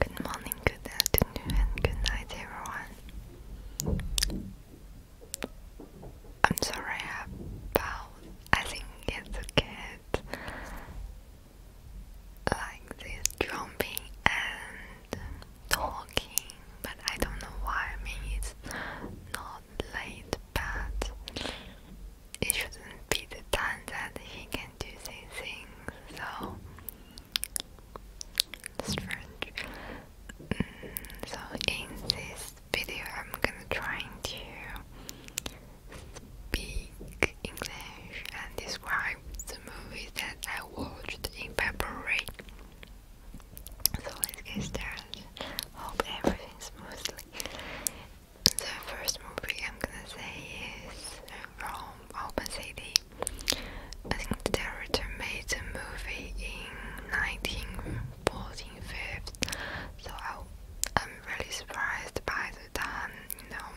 Good morning, good afternoon, and good night, everyone. I'm sorry about. I think it's a cat like this jumping and talking, but I don't know why. I mean, it's not late, but it shouldn't be the time that he can do these things. So strange. Mm, so in this video, I'm gonna try to speak English and describe the movie that I watched in February. So let's get started. Hope everything smoothly. The first movie I'm gonna say is from Open City. I think the director made the movie in 1945, so I, am really surprised by the time, you know,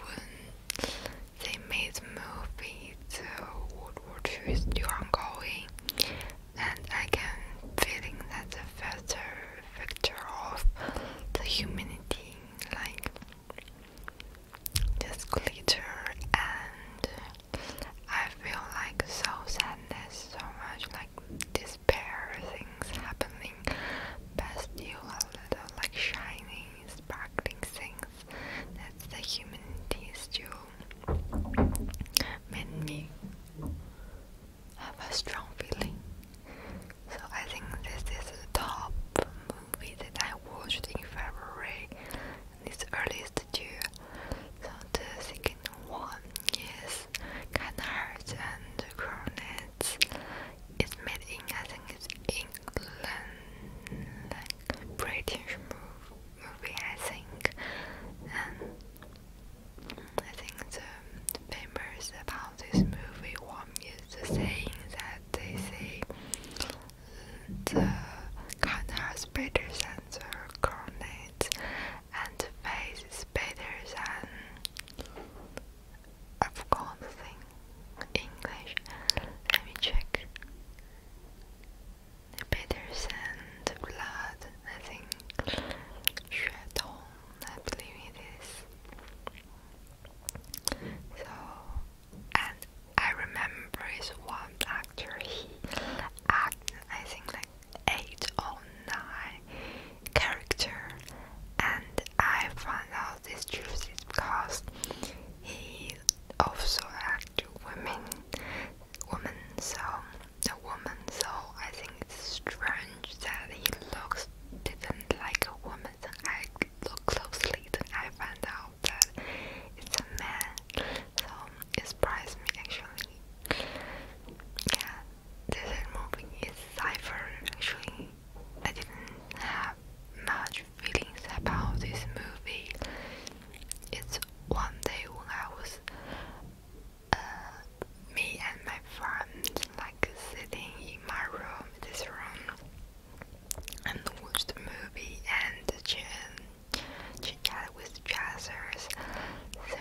when they made the movie, the World War II is still ongoing, and I can feeling that the further victor of the humanity like just glitter and I feel like so sadness so much like despair things happening Best you a little like shining sparkling things that's the human taste you made me have a strong feeling so I think this is the top movie that I watched in February, this earliest year. So the second one is Canards and Coronets. It's made in I think it's England, like British movie I think, and I think the, um, famous about this movie was mom used to saying that they say the cut has better than the cornet and the face is better than I forgot the thing English. Let me check. Better than the blood, I think. Shadow, I believe it is. So, and I remember is one actor, he acted, I think, like eight or nine character, and I found out this truth is because he also acted women, woman, so a woman. So I think it's strange that he looks didn't like a woman. I looked closely, then I found out that it's a man. So it surprised me actually. Yeah, this movie is Cypher actually. I didn't have much feelings about this movie. It's one day when I was uh, me and my friends like sitting in my room, this room, and watch the movie and chin, chit with jazzers. So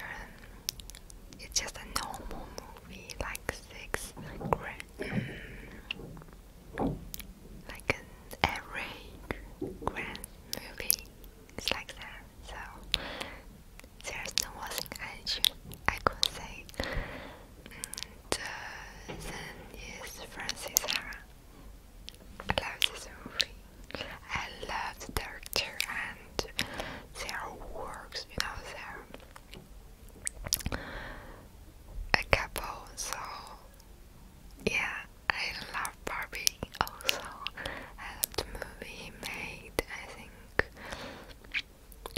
it's just a normal movie, like six grand, like an average grand movie. It's like that. So there's no one thing I should I could say and then yes, Francis Hara. I love this movie. I love the director and their works, you know, there are a couple, so yeah, I love Barbie also. I love the movie made, I think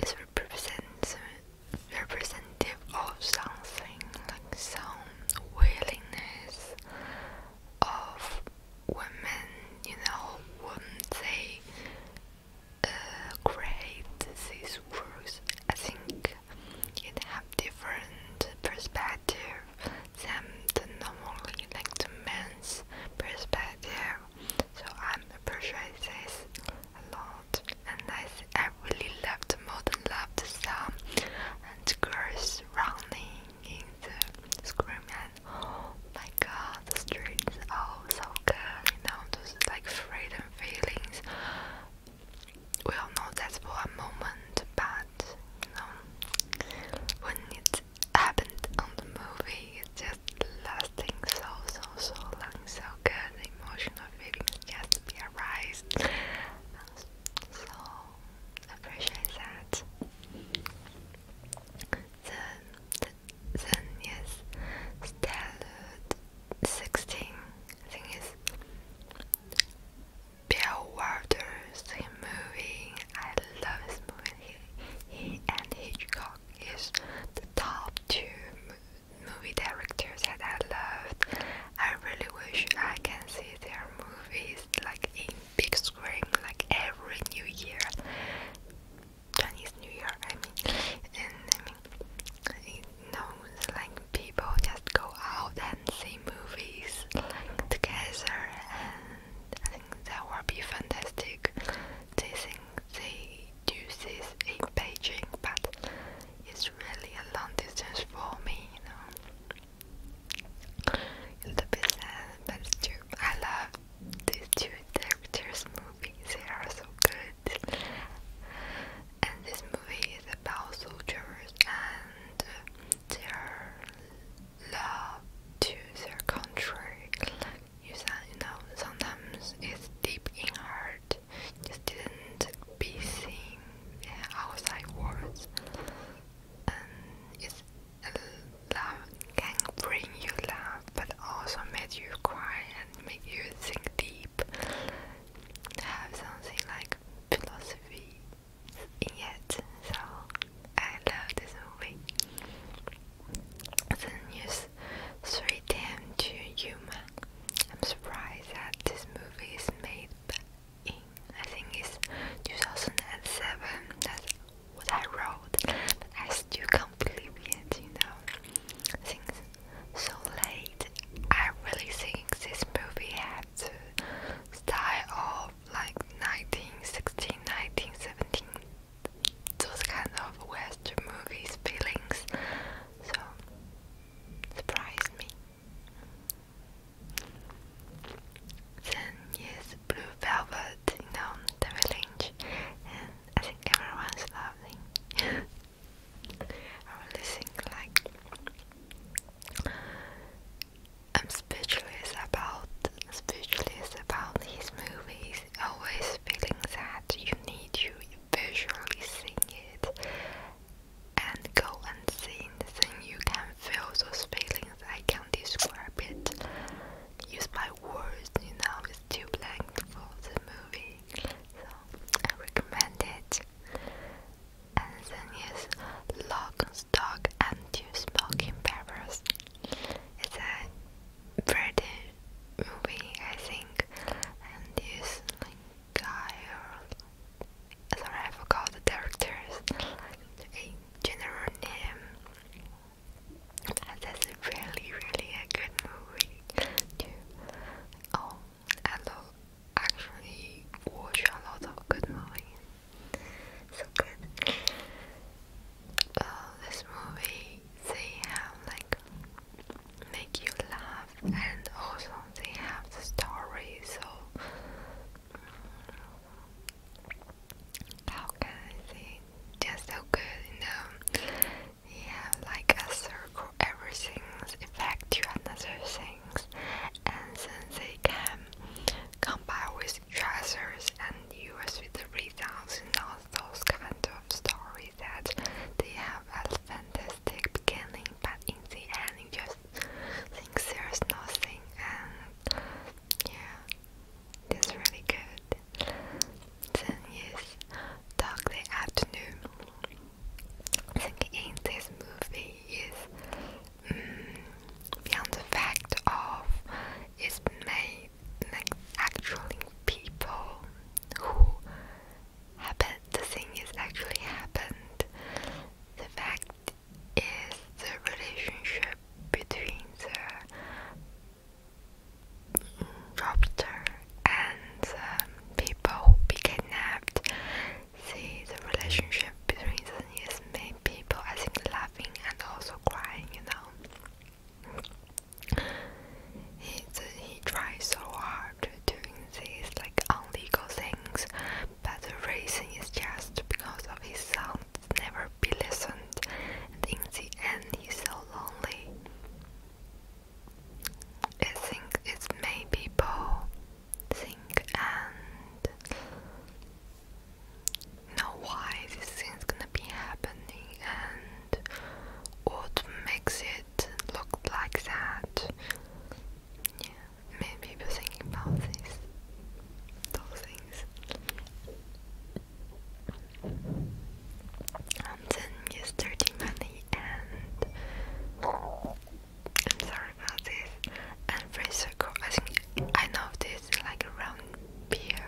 is represent, representative of something like some willingness of women, you know, when they uh, create these works. I think it have different perspective than the normally like the men's perspective so I'm appreciate this a lot and I, really love the modern love the sound and the girls running in the scream and oh my god the streets are oh, so good you know those like freedom feelings we all know that's for a moment but you know when it happened on the movie it's just lasting so so so long, so good. Emotional feelings just be arise. So appreciate that. Then, then yes, standard sixteen. Thing is, Bill Waters, the movie. I love his movie. he and Hitchcock is the top two movie directors that I loved. I really wish I can see their movies like in big screen, like every New Year, Chinese New Year. I mean, and I mean, know, like people just go out and see movies like together, and I think that would be fantastic. They think they do this in Beijing, but it's really a long distance for me, you know. A little bit but it's I love these two directors' movies, they are so good. And this movie is about soldiers and their love to their country. You know, sometimes it's deep in heart just didn't be seen outside worlds, and it's love can bring you love, but also make you cry and make you think deep. Have something like philosophy in it, so I love this movie. The news 3 to Human. I'm surprised that this movie is made in, I think it's 2007, that's what I wrote, but I still can't believe it, you know, things so late, I really think this movie had the style of like 1916, 1917, those kind of Western movies feelings so surprised me. Then yes, blue velvet, you the village, and I think everyone's loving. I really think like I'm speechless about speechless about his movies. Always feeling that you need to visually seeing it and go unseen, then you can feel those feelings. I can't describe it. Use my words, you know, it's too blank for the movie. So I recommend it. And then is Lock, Stock, and Two Smoking Peppers. It's a pretty movie, I think. And this guy, sorry, I forgot the director's like, general name. that's really, really a good movie. Oh, I love actually watch a lot of good movies. So good. Uh, this movie, they have like make you laugh, and also they have the story. So, how can I say? Just so good, you know. Yeah, like a circle, everything's affect to another things, and then they can combine with treasures and use with the results those kind of stories that they have a fantastic beginning, but in the end, just think there's nothing, and yeah, it's really good. Then yes, Dog the Afternoon. I think in this movie is mm, beyond the fact of it's made like actually people who happened, the thing is actually happened. The fact is the relationship between the robber and the people who be kidnapped. See, the relationship between them is made people, I think, laughing and also crying, you know. He he tries so hard to do these like illegal things, but the reason is just because of his sound never be listened, and in the end he's so lonely. I think it's maybe Bo think and know why this thing's gonna be happening and what makes it it looked like that. Yeah, maybe people thinking about these, those things. And then use dirty and I'm sorry about this. And free circle. I think I know this like around beer,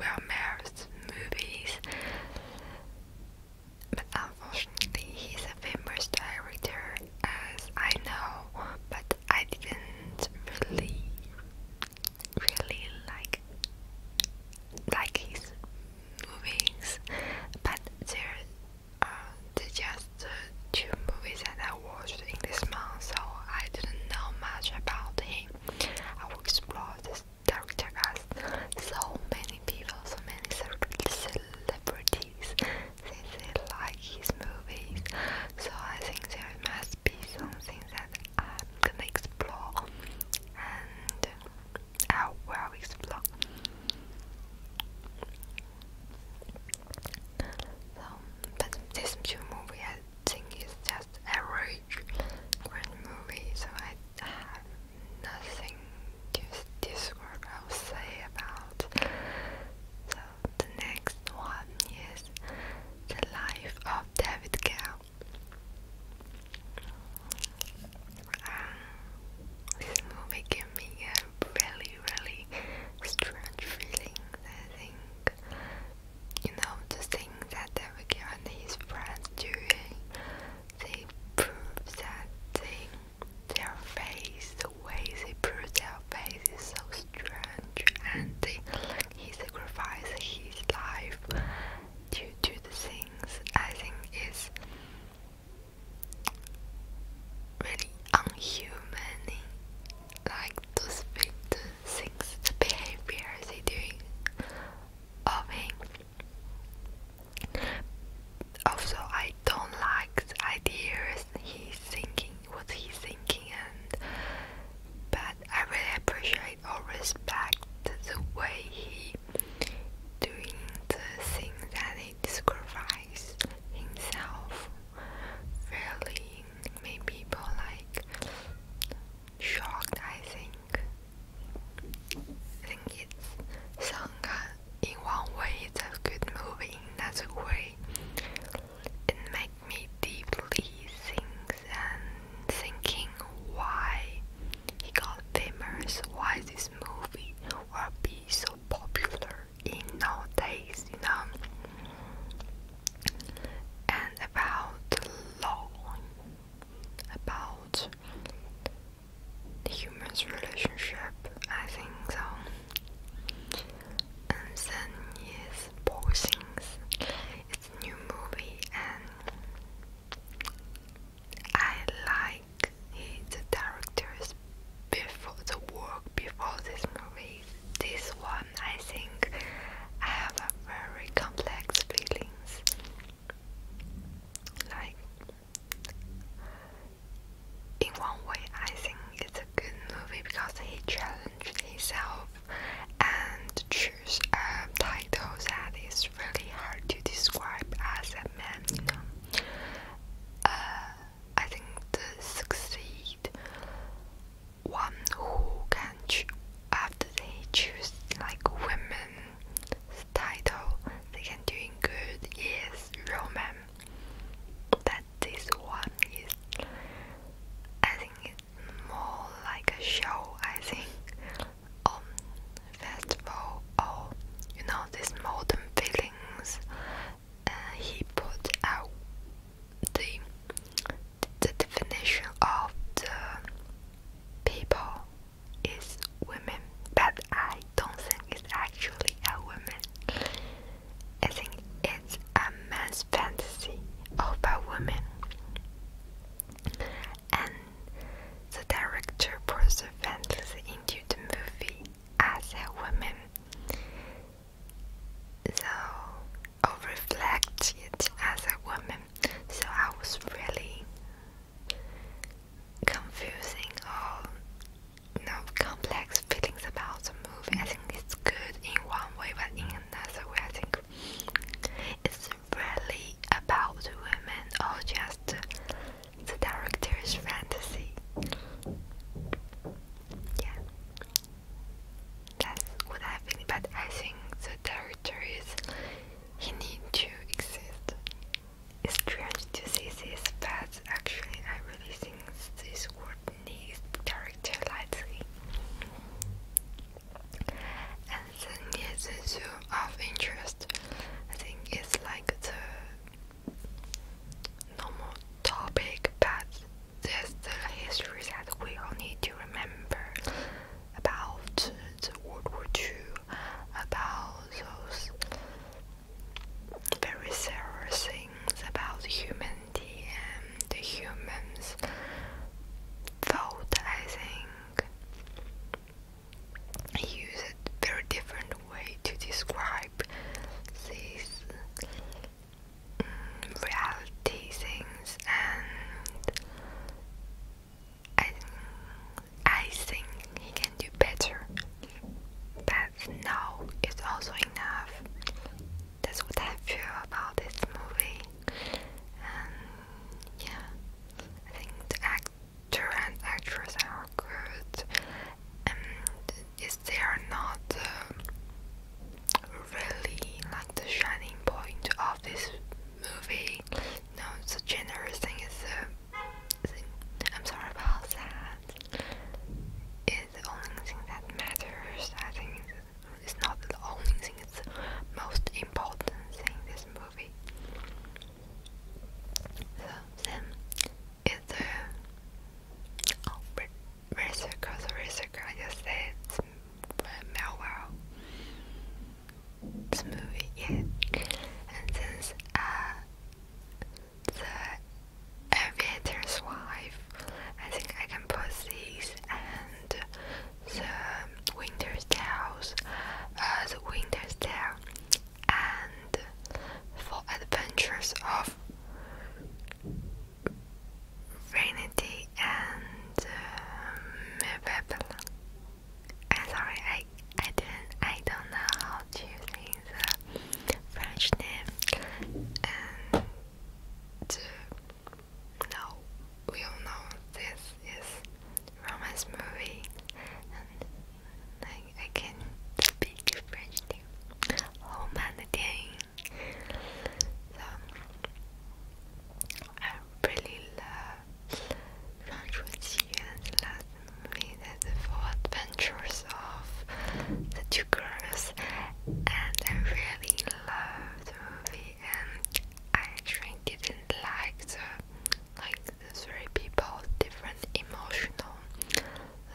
well, movies. But unfortunately, he's a famous director, as I know, but I didn't really, really like like his movies. But there are just two movies that I watched in this month, so I didn't know much about him. I will explore this Dr. Us. So many people, so many celebrities, they, they like his movies. So I think there must be something that I'm gonna explore, and I will explore. So, um, but this two movie I think is just average great movie, so I have nothing to describe I'll say about. So the next one is the life of David Gale. Um, this movie gave me a really, really strange feeling. I think you know the thing that David Gale and his friends doing they prove that thing. Their face, the way they prove their face is so strange, and they, he sacrificed his life to to the things I think is really unhuman. Like those the things, the behavior they doing of him. Also, I don't like ideas he's thinking, what he's thinking, and but I really appreciate or respect the way he doing the thing that he sacrifices himself. Really made people like shocked. I think think it's Sangha in one way it's a good movie, in another way it makes me deeply think and thinking why he got famous, why this movie will be so popular in nowadays, you know. And about law, about the human's relationship, I think so. And then his Poor Things. It's a new movie and I like the director's before the work before this movie. This one I think I have very complex feelings like, in one way, I think it's a good movie because he challenged himself and choose a title that is really hard to describe as a man, you uh, know. I think to succeed, one who can, after they choose like women title They second doing good is Roman. That this one is I think it's more like a show I think um festival or you know this modern feelings uh, he put out the the definition of the people is women, but I don't think it's actually a woman. I think it's a man's fantasy of a woman. And the director puts the fantasy into the movie as a woman. So I reflect it as a woman. So I was really confusing or you know, complex feelings about the movie. I think it's good in one way, but in another way, I think it's really about women or just the director's fantasy. Yeah, that's what I feel. But I think the director is he need to exist. It's strange to see this, but actually, I really think this word needs character lightly. And then it's the issue of interest. I think it's like the normal topic, but there's the history that we all need to remember about the World War II, about those very serious things about humanity and the humans thought, I think, he used a very different way to describe these um, things and I, I think he can do better. But now it's also enough. That's what I feel about this movie. And yeah, I think the actor and actress are good. And if they are not uh, really like the shining point of this movie, no, the generous thing is. Uh, thing. I'm sorry about that. the only thing that matters. I think it's not the only thing, it's the most important thing this movie. So then it's the oh, researcher, the I just said Melville smooth yet. And since uh, the aviator's wife, I think I can put these and the winter's tales, uh, the winter's tale, and for adventures of Vanity and um, uh, Babylon. I'm sorry, I I didn't I don't know how to use the French name and to, no we all know this is romance movie and I I can speak French name. So I really love Language and Latin made the four adventures of the two girls, and I really loved the movie. And I think didn't like the like the three people different emotional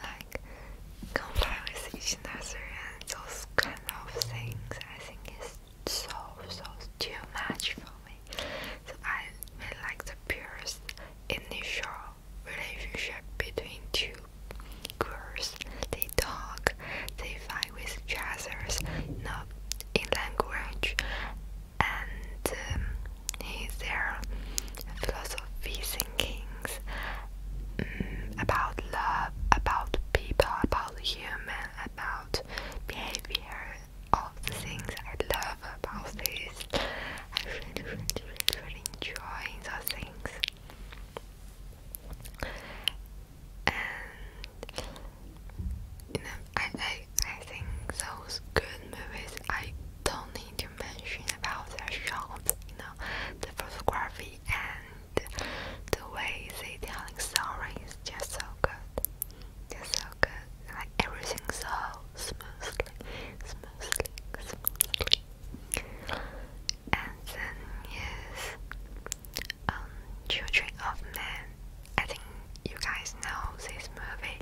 like conversation as and those kind of things. I think it's so so too much for me. So I like the purest initial relationship between two girls. They talk, they fight with each other, not in language, and um, he's their philosophy thinkings um, mm, about love, about people, about human, about behavior, all the things I love about this. I really, really, really, really enjoy those things. And I, I, I think those good movies, I don't need to mention about their shots, you know, the photography and the way they telling stories just so good. You're so good. Like everything so smoothly, smoothly, smoothly. And then yes, um, Children of Men. I think you guys know this movie.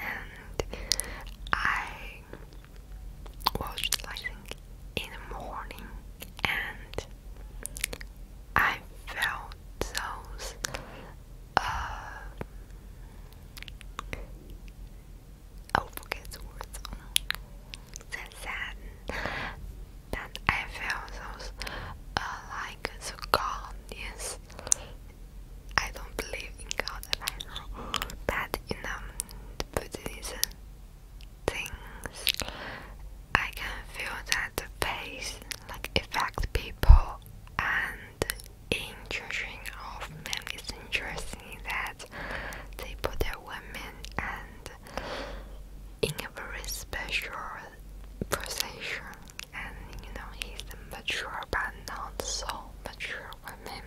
And I watched I think in the morning and I felt those uh, forget the words. That I felt those uh, like the God I don't believe in God at all, but you know, um, Buddhism things. I can feel that the face like affect people and in judging of men it's interesting that they put their women and in a very special position and you know he's a mature but not so mature woman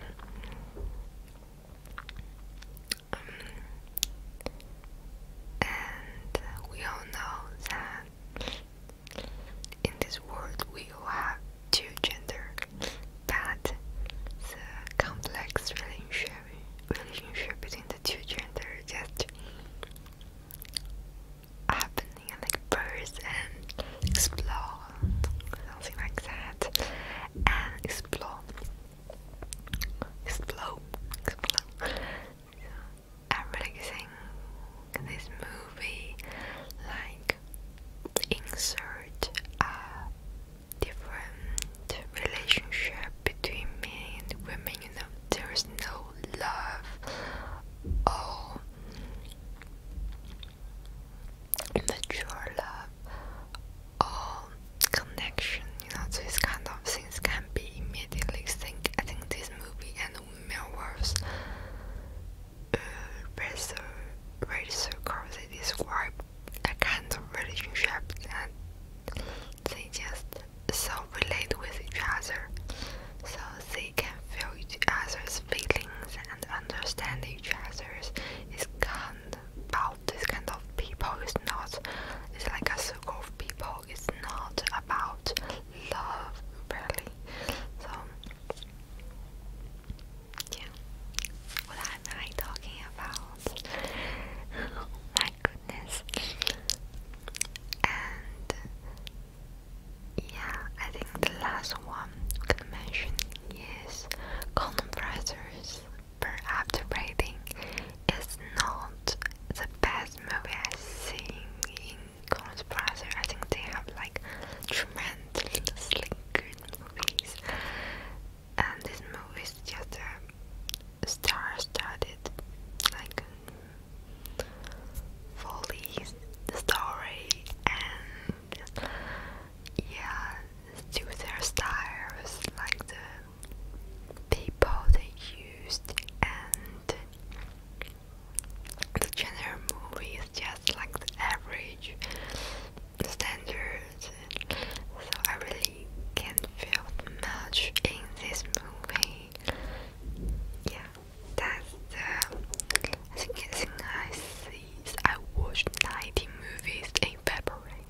um, and we all know that in this world we all have two gender but the complex relationship relationship between the two gender just happening like birth and explore something like that and explore explore explore I'm relaxing this movie like insert a different relationship between men and women, you know, there's no love or mature love or connection, you know, these kind of things can not be immediately seen. I think this movie and Millwall's uh, Razor, Razor Crosby described a kind of relationship that they just so relate with each other, so they can feel each other's feelings and understand each other's. It's kind about this kind of people. It's not. It's like a circle of people. It's not about love really. So yeah. What am I talking about? my goodness. And yeah, I think the last one we can mention is compressors per after breathing is not the best movie I've seen in Chrome's browser. I think they have like tremendously good movies, and this movie is just a star started like fully story, and yeah, do their styles like the people they used and the general movie is just like the average standard, so I really can't feel much in this movie. Yeah, that's the I think, I think I I watched ninety movies in February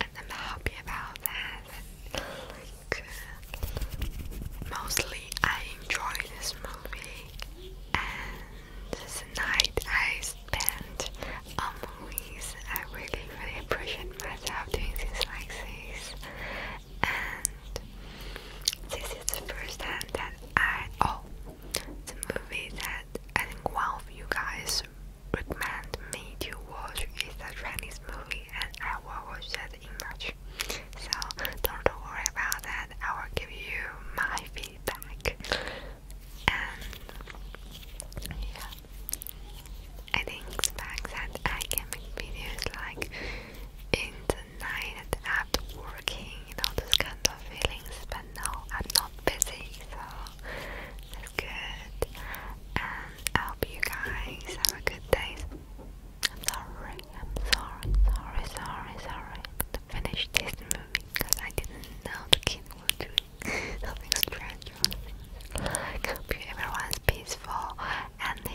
and I'm happy about that. Uh, mostly I enjoy this movie, and the night I spent on movies. I really, really appreciate myself doing things like this, and this is the first time that I oh, the movie that I think you guys recommend me to watch is a Chinese movie and I will watch that in March. So don't worry about that, I will give you my feedback. And yeah, I did that I can make videos like in the night after working, you know, this kind of feelings, but now I'm not busy, so that's good. And I hope you guys have a good day. I'm sorry, I'm sorry, sorry, sorry, sorry. But I finished this movie because I didn't know the kid was doing something strange or something. I hope everyone's peaceful and the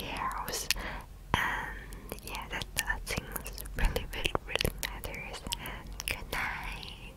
And yeah, that, things really, really, matters. And good night.